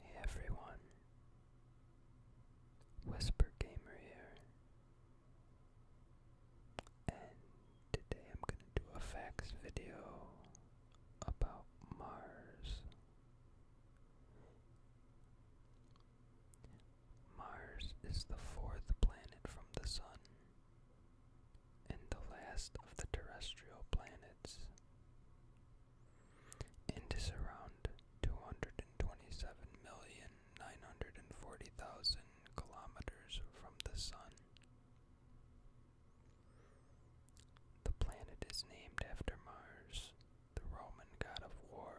Hey everyone, Whisper Gamer here, and today I'm going to do a facts video about Mars. Mars is the fourth planet from the Sun and the last of the terrestrial planets. And is around 227,940,000 kilometers from the Sun. The planet is named after Mars, the Roman god of war.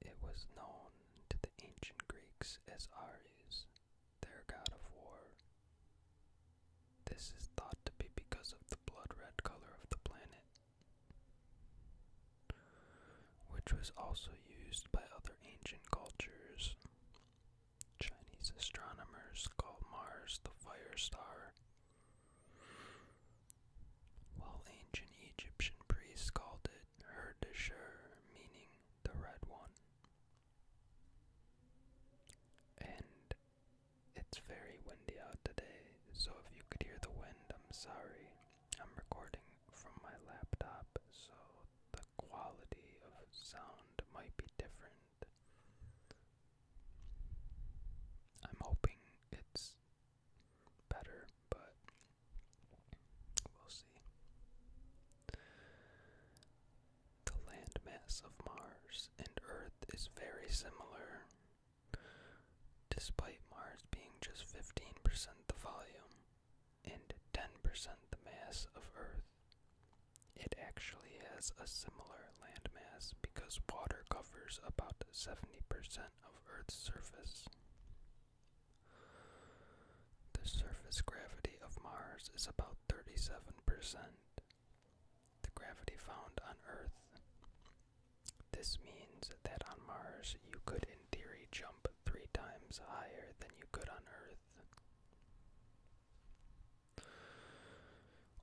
It was known to the ancient Greeks as Ares, their god of war. This is thought to be because of the blood red color of the planet, which was also used by other ancient cultures. Chinese astronomers called Mars the fire star, while ancient Egyptian priests called it translated meaning the red one. And it's very windy out today, so if you could hear the wind, I'm sorry. I'm recording from my laptop, so the quality of sound might be different. I'm hoping it's better, but we'll see. The landmass of Mars and Earth is very similar, despite Mars being just 15% the volume and 10% the mass of Earth. It actually has a similar landmass because water covers about 70% of Earth's surface. The surface gravity of Mars is about 37% the gravity found on Earth. This means that on Mars you could, in theory, jump three times higher than you could on Earth.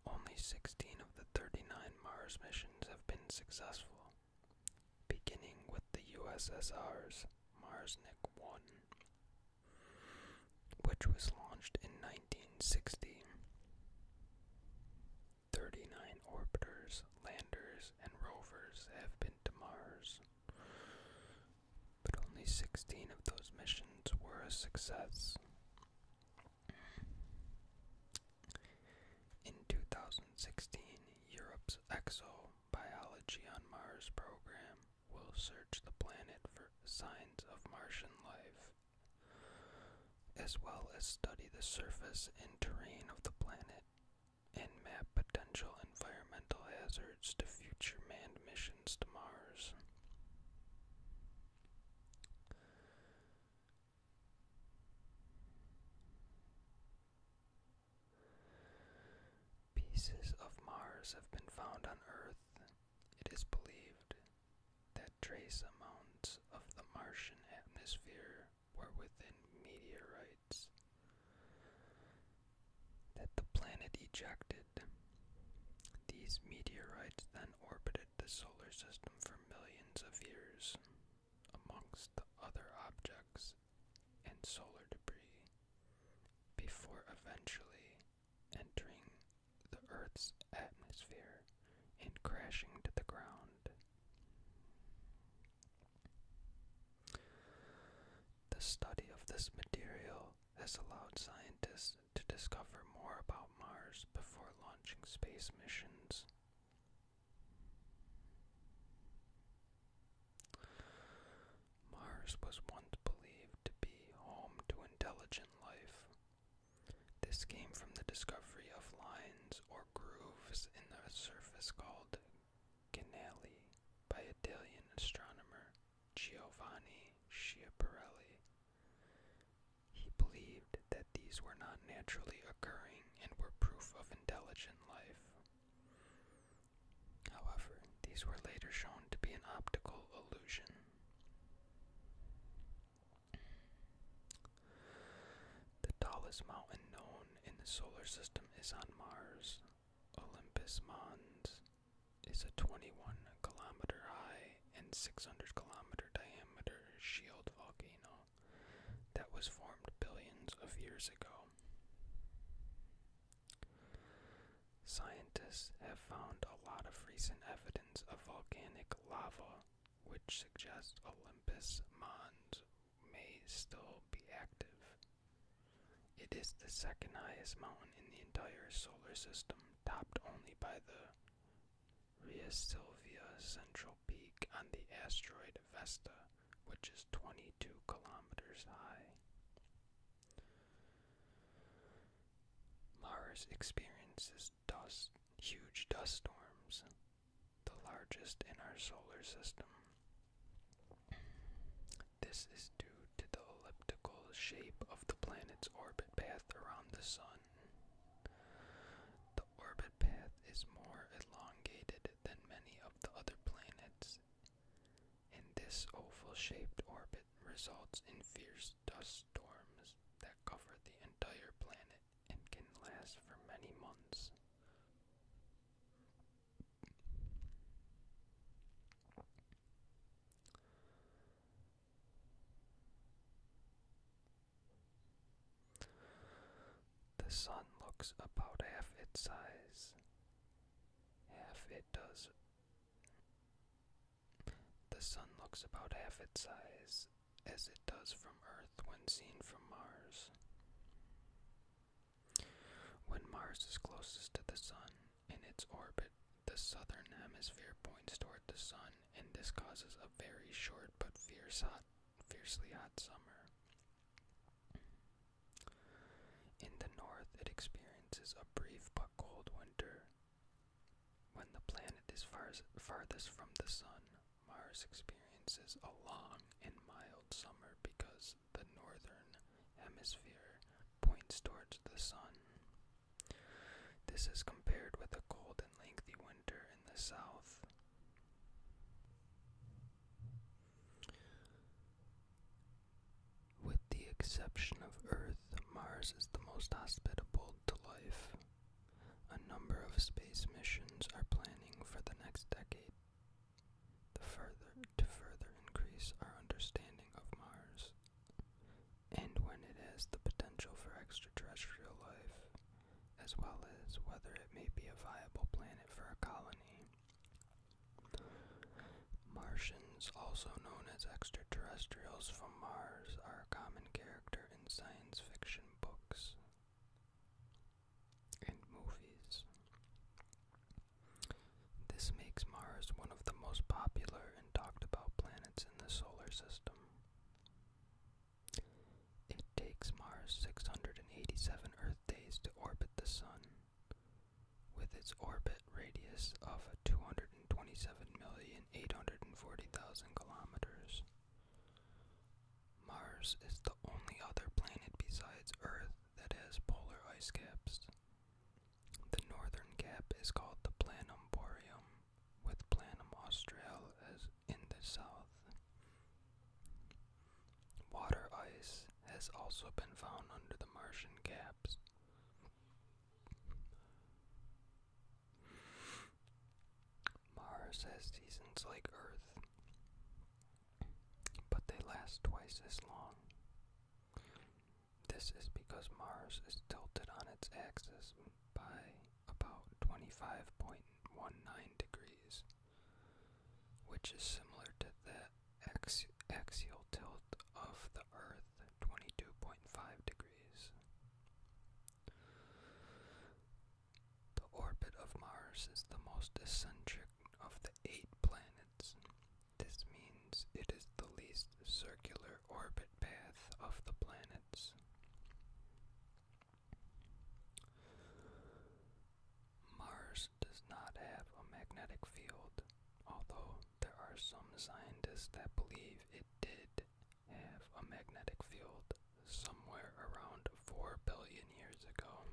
Only 16 of the 39 Mars missions have been successful beginning with the USSR's Marsnik 1, which was launched in 1960. 39 orbiters, landers, and rovers have been to Mars, but only 16 of those missions were a success. In 2016, Europe's ExoBiology on Mars program will search the planet for signs of Martian life, as well as study the surface and terrain of the planet and map potential environmental hazards to future manned missions to Mars. Pieces of Mars have been found on Earth. It is believed that trace amounts of the Martian atmosphere were within meteorites that the planet ejected. These meteorites then orbited the solar system for millions of years amongst other objects and solar debris before eventually entering the Earth's atmosphere and crashing to the ground. The study of this material has allowed scientists to discover more about Mars before launching space missions Mars was once believed to be home to intelligent life. This came from the discovery of lines or grooves in the surface called canali by Italian astronomer Giovanni Schiaparelli. He believed that these were not naturally occurring and were proof of intelligent life. However, these were later shown to be an optical illusion. The tallest mountain known in the solar system is on Mars. Olympus Mons is a 21 kilometer high and 600 kilometer diameter shield volcano that was formed billions of years ago. Scientists have found a lot of recent evidence of volcanic lava, which suggests Olympus Mons may still be active. It is the second highest mountain in the entire solar system, topped only by the via Sylvia Central Peak on the asteroid Vesta, which is 22 kilometers high. Mars experiences huge dust storms, the largest in our solar system. This is due to the elliptical shape of the planet's orbit path around the Sun. The orbit path is more elongated than many of the other planets. In this oval shaped orbit results in fierce dust storms that cover the entire planet and can last for many months. The sun looks about half its size. Half it does. The sun looks about half its size as it does from Earth when seen from Mars. When Mars is closest to the sun in its orbit, the southern hemisphere points toward the sun, and this causes a very short but fierce hot, fiercely hot summer. In the north, it experiences a brief but cold winter. When the planet is farthest from the sun, Mars experiences a long and mild summer because the northern hemisphere points toward the sun. This is compared with the cold and lengthy winter in the south. With the exception of Earth, Mars is the most hospitable to life. A number of space missions are planning for the next decade the further, to further increase our understanding of Mars and when it has the potential for extraterrestrial life, as well as whether it may be a viable planet for a colony. Martians, also known as extraterrestrials from Mars, are a common character in science fiction books and movies. This makes Mars one of the most popular and talked about planets in the solar system. It takes Mars 687 Earth days to orbit the Sun, with its orbit radius of 227,840,000 kilometers. Mars is the only other planet besides Earth that has polar ice caps. The northern cap is called the Planum boreum, with Planum australis in the south. Water ice has also been found under the Martian caps. Mars has seasons like Earth, but they last twice as long. This is because Mars is tilted on its axis by about 25.19 degrees, which is similar to the axial tilt of the Earth, 22.5 degrees. The orbit of Mars is the most eccentric of the eight planets this means it is the least circular orbit path of the planets. Mars does not have a magnetic field, although there are some scientists that believe it did have a magnetic field somewhere around 4 billion years ago.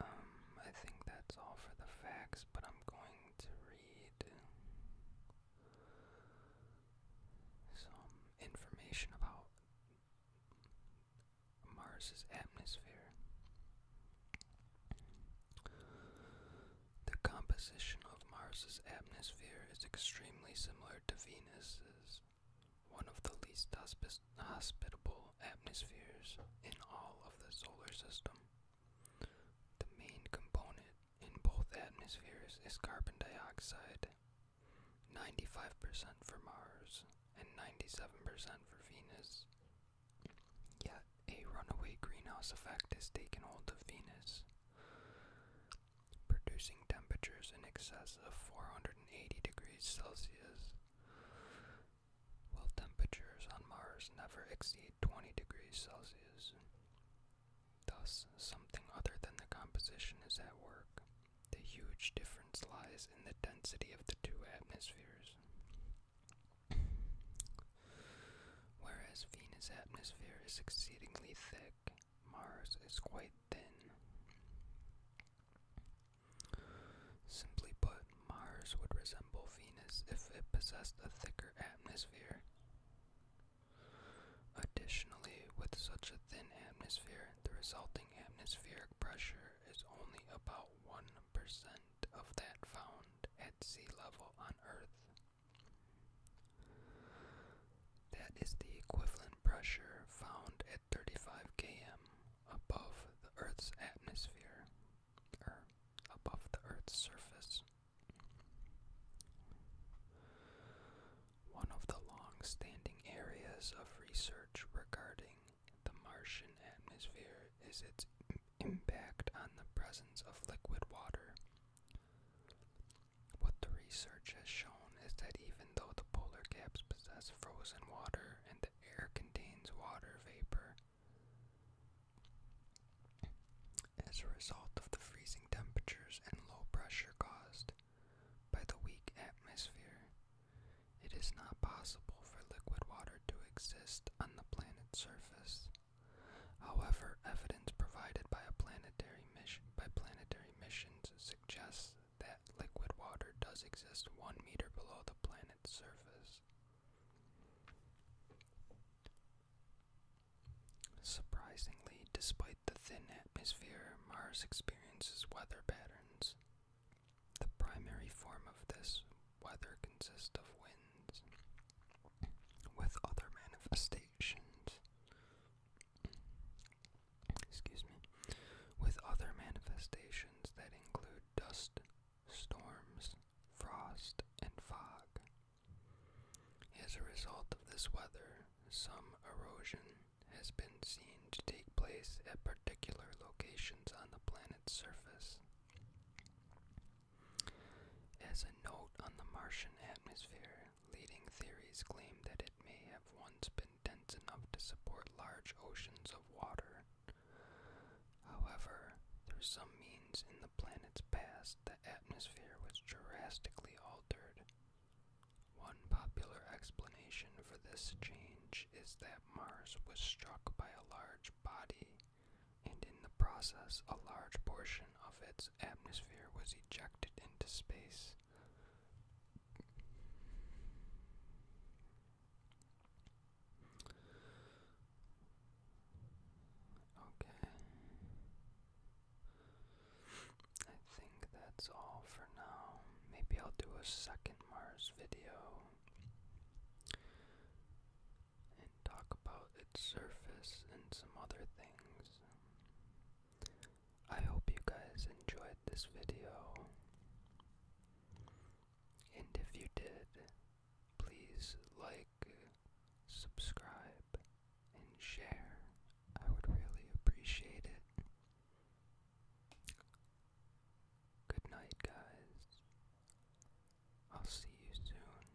Um, I think that's all for the facts, but I'm going to read some information about Mars's atmosphere. The composition of Mars's atmosphere is extremely similar to Venus's. One of the least hospitable atmospheres in all of the solar system. The main component in both atmospheres is carbon dioxide, 95% for Mars and 97% for Venus. Yet, a runaway greenhouse effect has taken hold of Venus, producing temperatures in excess of 480 degrees Celsius while temperatures on Mars never exceed 20 degrees Celsius. Thus, something other than the composition is at work. The huge difference lies in the density of the two atmospheres. Whereas Venus' atmosphere is exceedingly thick, Mars is quite thin. Simply put, Mars would resemble Venus if it possessed a thicker atmosphere. Additionally, with such a thin atmosphere, the resulting atmospheric pressure is only about 1% of that found at sea level on Earth. That is the equivalent pressure found at 35 km above the Earth's atmosphere, or above the Earth's surface. One of the long standing areas of research regarding the Martian atmosphere is its impact on the presence of liquid water. What the research has shown is that even though the polar caps possess frozen water and the air contains water vapor. As a result of the freezing temperatures and low pressure caused by the weak atmosphere, it is not possible for liquid water to exist on the planet's surface. However, evidence provided by planetary missions suggests that liquid water does exist one meter below the planet's surface. Surprisingly, despite the thin atmosphere, Mars experiences weather patterns. The primary form of this weather consists of winds, with other manifestations excuse me, with other manifestations that include dust, storms, frost, and fog. As a result of this weather, some erosion has been seen to take place at particular locations on the planet's surface. As a note on the Martian atmosphere, leading theories claim that it may have once been dense enough to support large oceans of water. However, through some means in the planet's past, the atmosphere was drastically altered. One popular explanation for this change is that Mars was struck by a large body, and in the process, a large portion of its atmosphere was ejected into space. Okay. I think that's all for now. Maybe I'll do a second Mars video and talk about its surface and some other things. I hope you guys enjoyed this video. And if you did, please like, subscribe, and share. I would really appreciate it. Good night, guys. I'll see you soon.